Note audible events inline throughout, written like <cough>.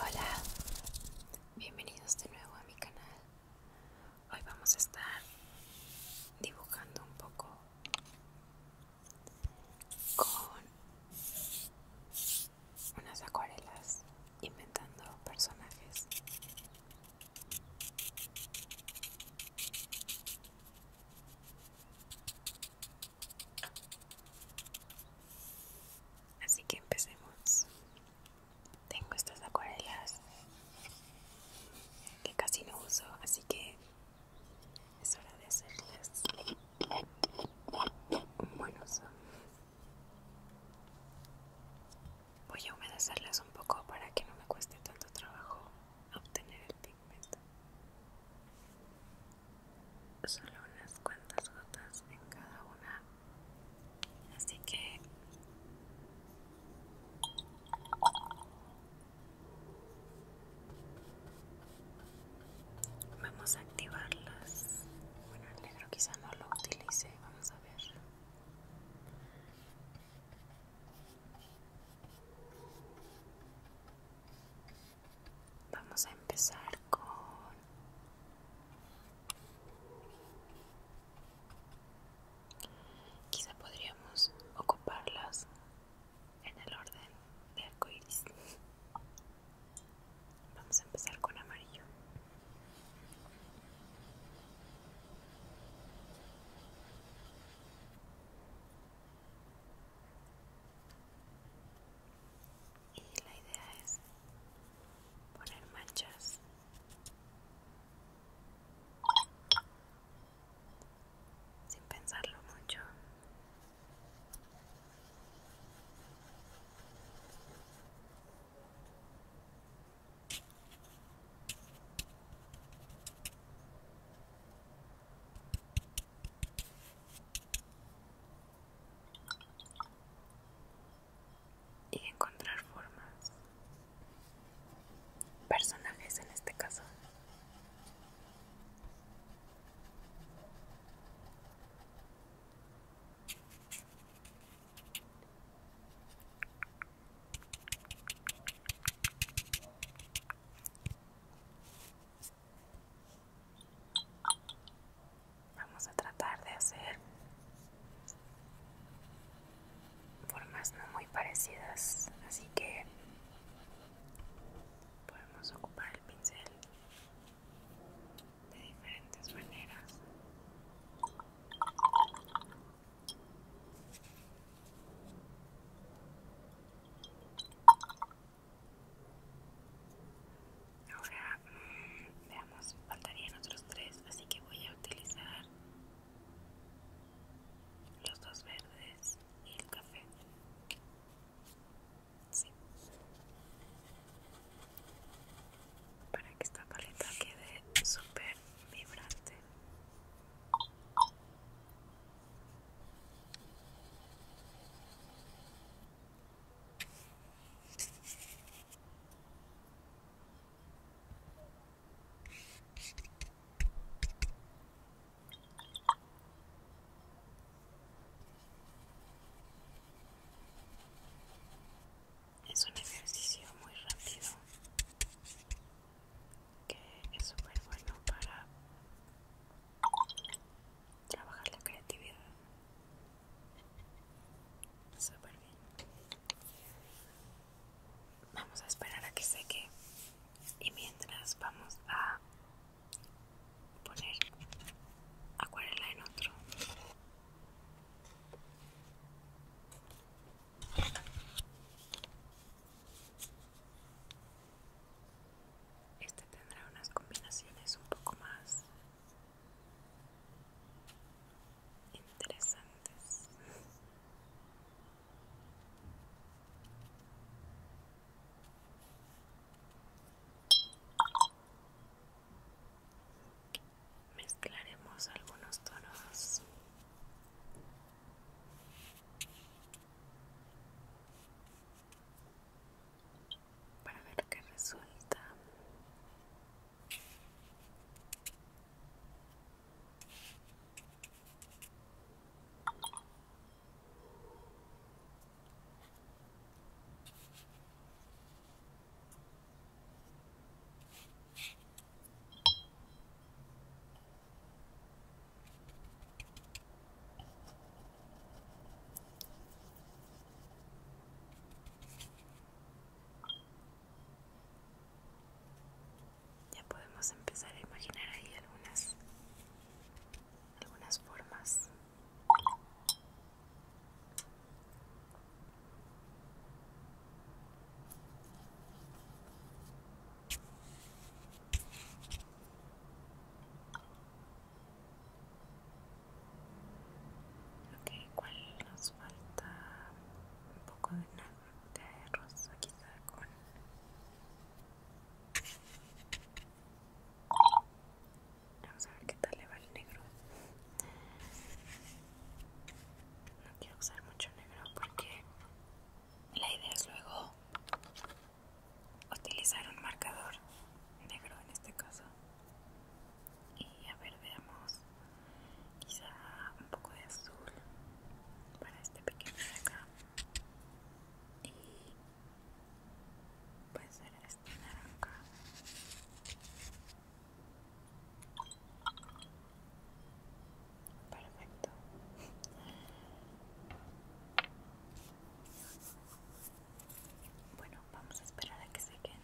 Hola, bienvenidos de nuevo a mi canal. Hoy vamos a estar dibujando un poco con unas acuarelas, inventando personajes. Así que empecemos. Tengo estas acuarelas que casi no uso, así que es hora de hacerles Bueno, Voy a humedecerlas un poco para que no me cueste tanto trabajo obtener el pigmento solo unas cuantas gotas en cada una así que vamos a activarlas bueno el negro quizá no lo utilice vamos a ver Vamos a empezar con quizá podríamos ocuparlas en el orden de arcoíris. Vamos a empezar con amarillo y la idea es poner manchas sin pensarlo mucho y encontrar formas, personajes en este caso. Vamos a tratar de hacer formas no muy parecidas, así que podemos ocupar el pincel de diferentes maneras. Ahora mm, veamos, faltarían otros tres, así que voy a utilizar los dos verdes y el café. Para que esta paleta quede súper vibrante. Es un ejercicio muy rápido que es súper bueno para trabajar la creatividad. Súper bien. Vamos a esperar a que seque y mientras vamos a poner acuarela en otro. Este tendrá unas combinaciones un poco más interesantes. Mezclaremos algunos tonos para ver qué resulta. Ya podemos empezar a imaginar ahí algunas algunas formas. Ok, ¿cuál nos falta? Un poco de, de rosa quizá con... Vamos a ver qué tal le va el negro. No quiero usar mucho negro porque la idea es luego utilizar un marcador negro en este caso y a ver veamos quizá un poco de azul para este pequeño de acá y puede ser este naranja perfecto bueno, vamos a esperar a que sequen.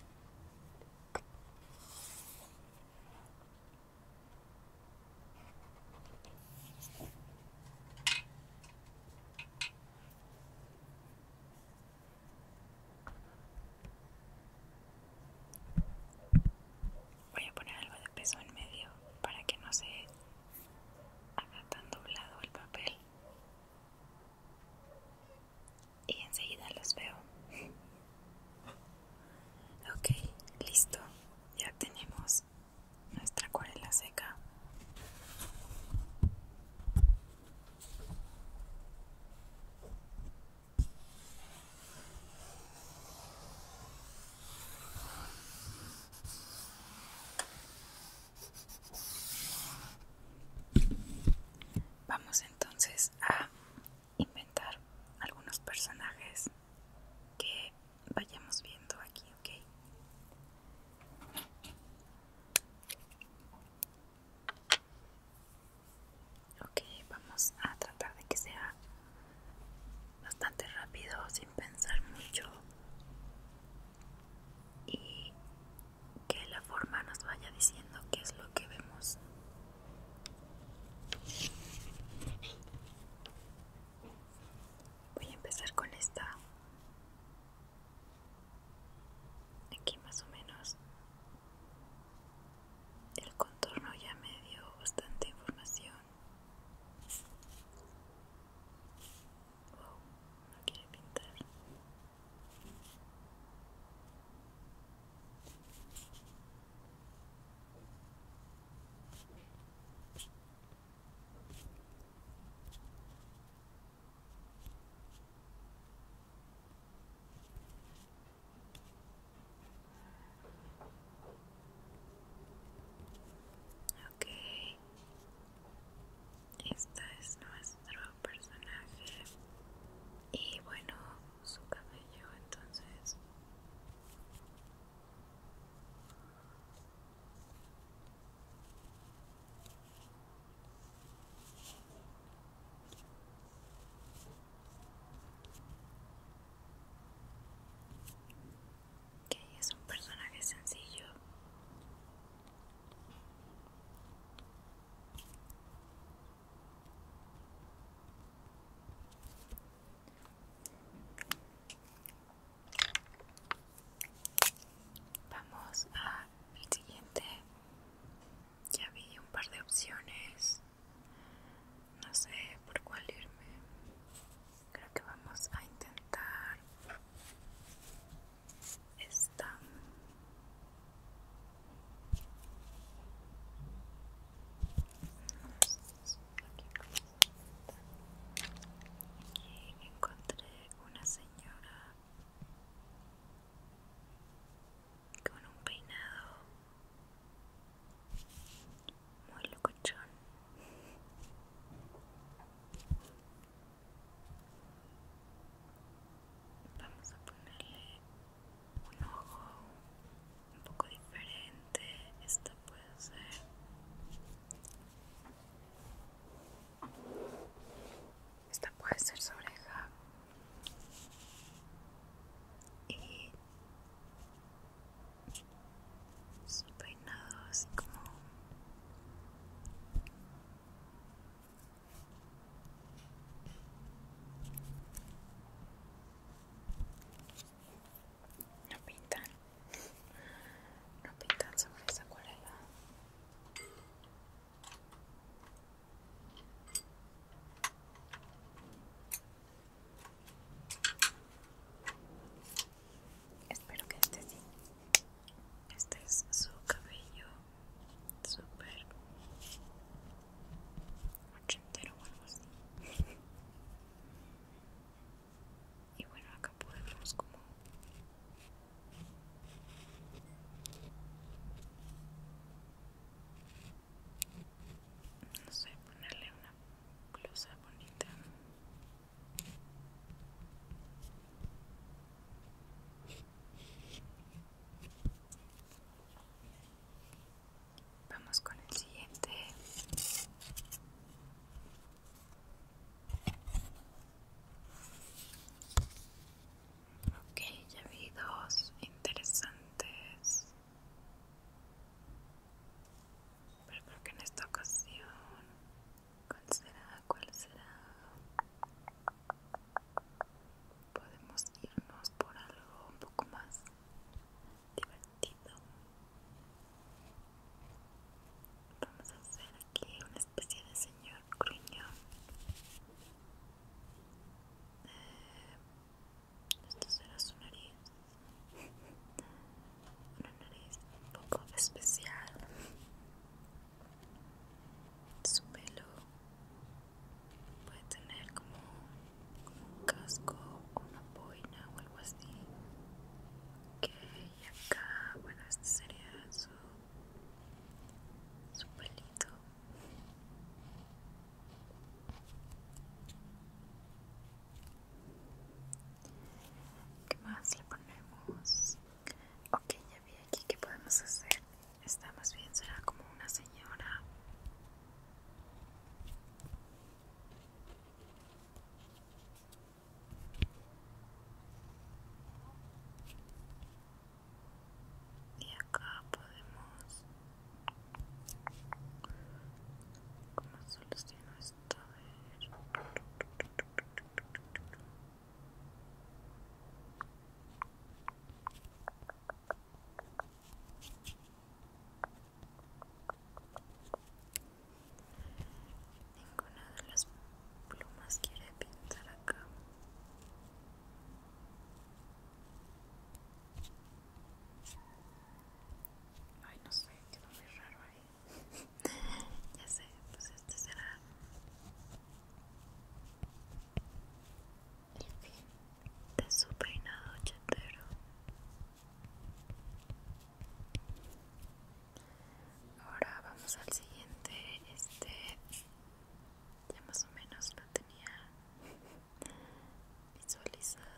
Voy a poner algo de peso en medio para que no se acá tan doblado el papel y enseguida los veo <laughs> ok listo ya tenemos nuestra acuarela seca Vamos entonces a inventar algunos personajes que vayamos viendo aquí, ¿ok? Ok, vamos a tratar de que sea bastante rápido sin pensar mucho y que la forma nos vaya diciendo qué es lo que vemos voy a empezar con esta aquí más o menos el contorno ya me dio bastante información Oh, no pintar. Okay, este es nuestro personaje y bueno, su cabello entonces que es un personaje sencillo Vamos a siguiente. Ya vi un par de opciones. No sé por cuál irme creo que vamos a intentar esta aquí encontré una señora con un peinado muy locochón. Vamos a ponerle un ojo un poco diferente. Esta puede ser esta puede ser su oreja y su peinado así como no pintan no pintan sobre esa acuarela Espero que este sí. Este es su cabello súper ochentero o algo así. Y bueno, acá podemos como no sé, ponerle una blusa bonita Vamos con el siguiente. Ok, ya vi dos interesantes. Pero creo que en esta ocasión, ¿cuál será? ¿Cuál será? Podemos irnos por algo un poco más divertido. Vamos a hacer aquí una especie de señor gruñón. Eh, esto será su nariz una nariz un poco especial su pelo puede tener como, un casco o una boina o algo así que acá bueno este sería su su pelito ¿Qué más le ponemos? Ok, ya vi aquí que podemos hacer. Está más bien será como una señora. Y acá podemos como esto. Ninguna de las plumas quiere pintar acá. Ay, no sé, quedó muy raro ahí. <laughs> ya sé, pues este será En fin de su peinado chetero. Ahora vamos al siguiente. Este ya más o menos lo tenía <laughs> visualizado.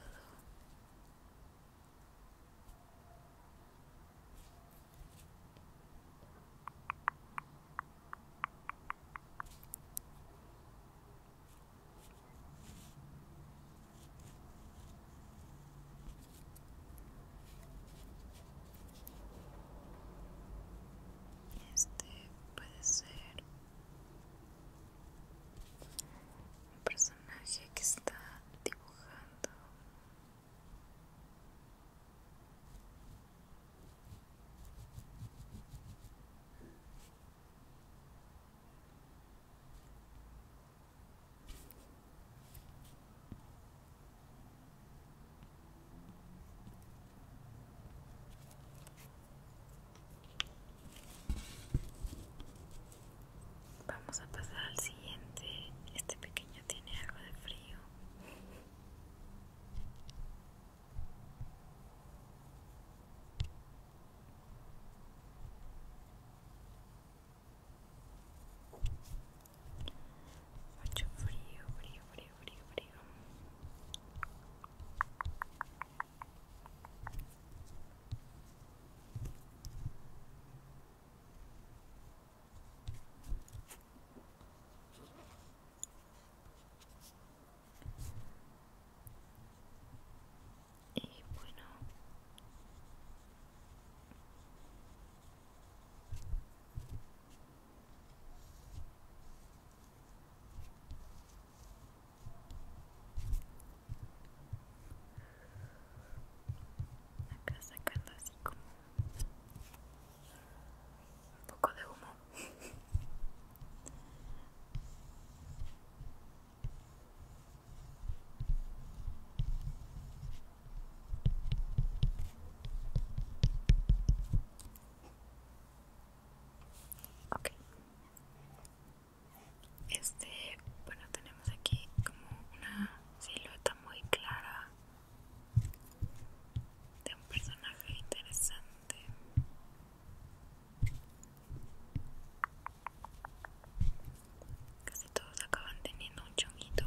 Este puede ser un personaje que está dibujando Vamos a pasar al siguiente. Este pequeño tiene algo de frío. Mucho frío, frío, frío, frío, frío. Y bueno, Acá sacando así como un poco de humo. ok este, bueno, tenemos aquí como una silueta muy clara de un personaje interesante. Casi todos acaban teniendo un chonguito.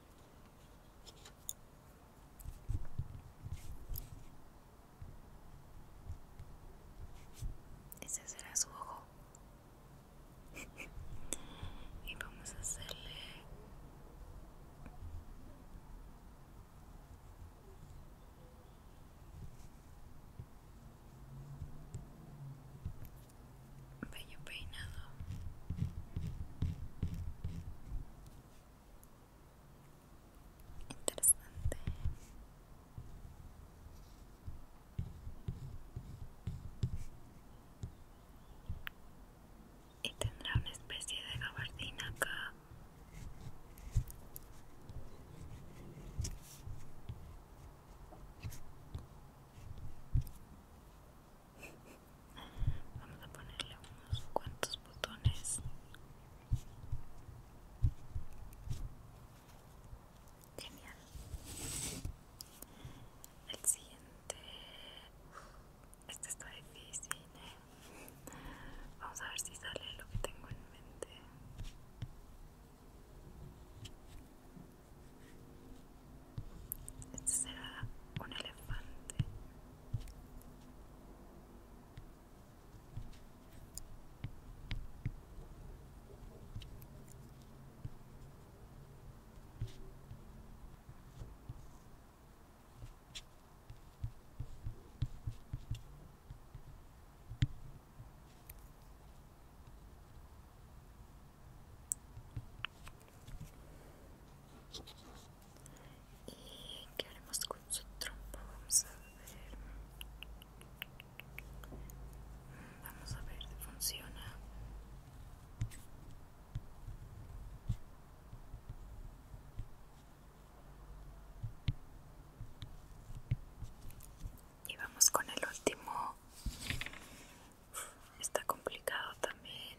Ese será su ojo. <laughs> y vamos a hacerle... Y peinado. Interesante. Y tendrá una especie de gabardina acá. Vamos a ponerle unos cuantos botones. Genial. El siguiente. Este está difícil. ¿eh? Vamos a ver si sale lo que tengo en mente. Este será un elefante. ¿Y qué haremos con su trompa? Vamos a ver. Mm, vamos a ver si funciona. Y vamos con el último está complicado también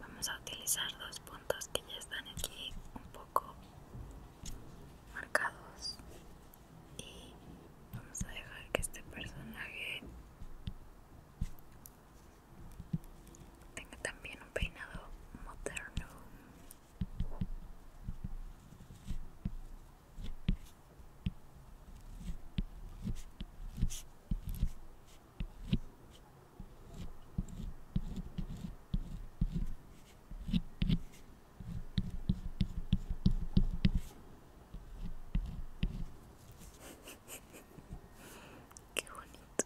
vamos a utilizar dos puntos que ya están aquí un poco marcados y vamos a dejar que este personaje tenga también un peinado moderno Qué bonito.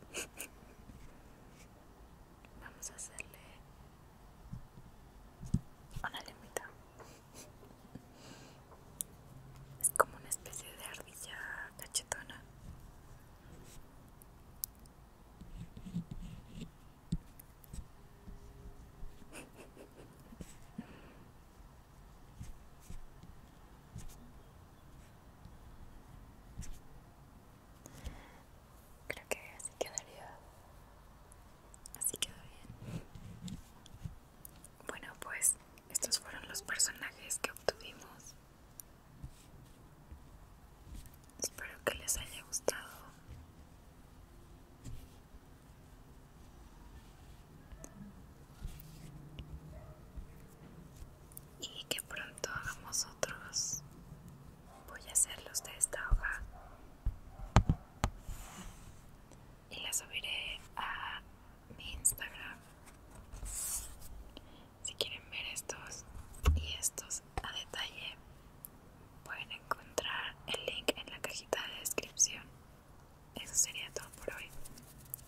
Vamos a hacerle una limita. Es como una especie de ardilla cachetona. Creo que así quedaría. Así queda bien. Bueno, pues estos fueron los personajes que obtuvimos. Espero que les haya gustado. Y que pronto hagamos otros. Voy a hacerlos de esta hoja y la subiré a mi Instagram. Si quieren ver estos y estos a detalle, pueden encontrar el link en la cajita de descripción. Eso sería todo por hoy.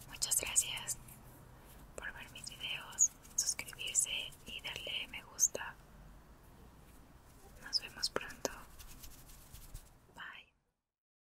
Muchas gracias por ver mis videos, suscribirse y darle me gusta. Nos vemos pronto. Bye.